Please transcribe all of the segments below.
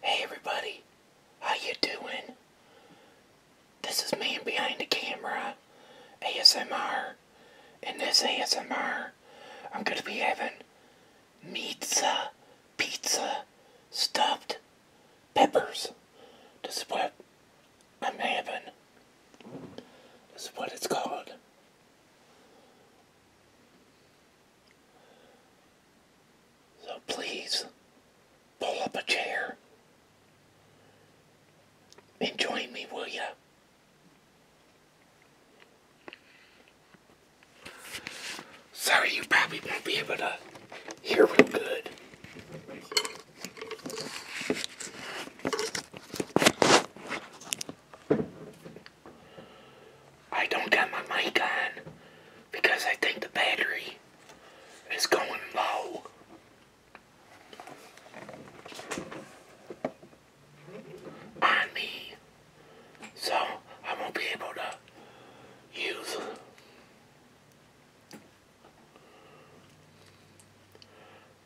Hey everybody, how you doing? This is man behind the camera, ASMR. In this ASMR, I'm gonna be having pizza, pizza, stuffed peppers. This is what I'm having. This is what it's called. So please pull up a chair and join me, will you? Sorry, you probably won't be able to hear real good. I don't got my mic on because I think the battery is going low. On me. So I won't be able to use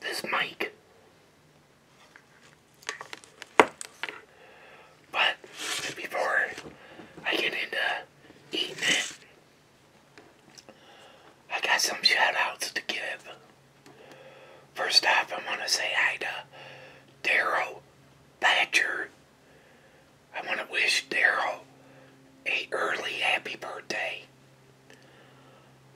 this mic. But before I get into eating it, I got some shout outs to give. First off, i want to say hi to Daryl Thatcher. I want to wish Daryl a early happy birthday.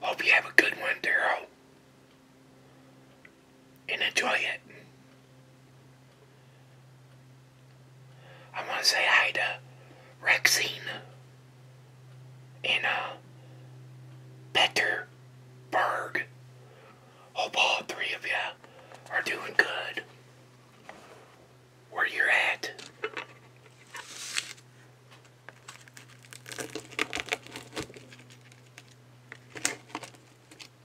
Hope you have a good one, Daryl and enjoy it. I want to say hi to Rexine and uh, Berg. Hope all three of you are doing good where you're at.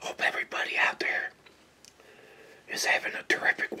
Hope everybody out there is having a terrific one.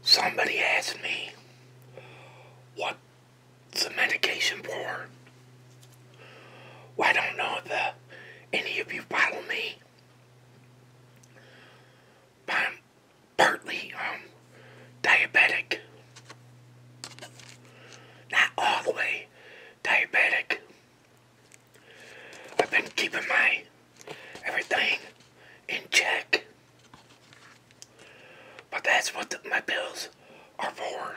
Somebody asked me what's the medication for? I don't know if any of you follow me. I'm partly um, diabetic. Not all the way diabetic. I've been keeping my everything in check. But that's what my bills are for.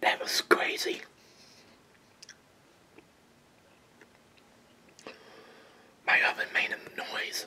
That was crazy. My oven made a noise.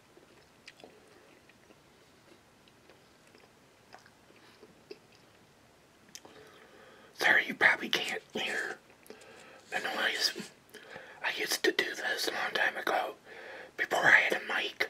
Sorry, you probably can't hear the noise. I used to do this a long time ago before I had a mic.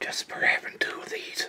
just for having two of these.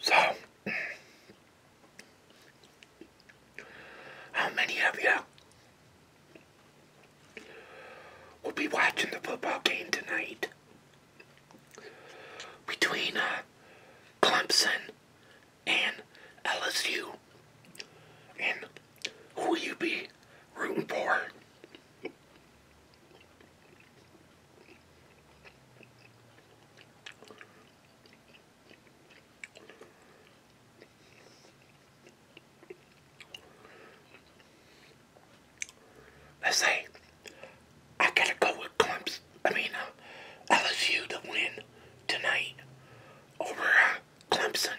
So, how many of you will be watching the football game tonight between uh, Clemson and LSU? And who will you be rooting for? Let's see. I gotta go with Clemson. I mean, uh, LSU to win tonight over uh, Clemson.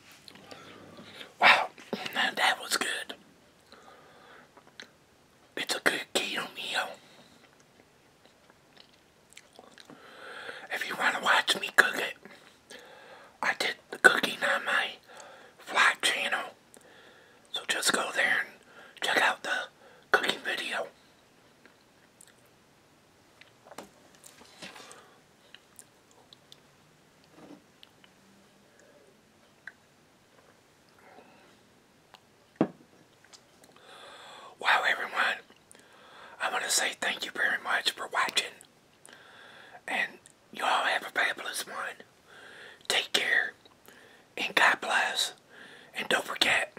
Wow, that was good. It's a good keto meal. If you want to watch me cook it, I did the cooking on my vlog channel. So just go there and check out the cooking video. Wow, everyone. I want to say thank you very much for watching. And you all have a fabulous one. Take care. And God bless. And don't forget,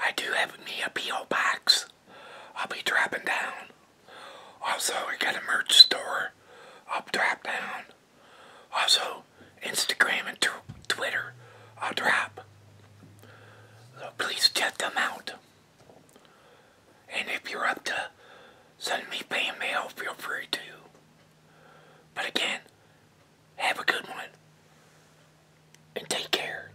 I do have me a P.O. box. I'll be dropping down. Also, we got a merch store. I'll drop down. Also, Instagram and Twitter. I'll drop. So please check them out. And if you're up to send me fan feel free to. But again, have a good one. And take care.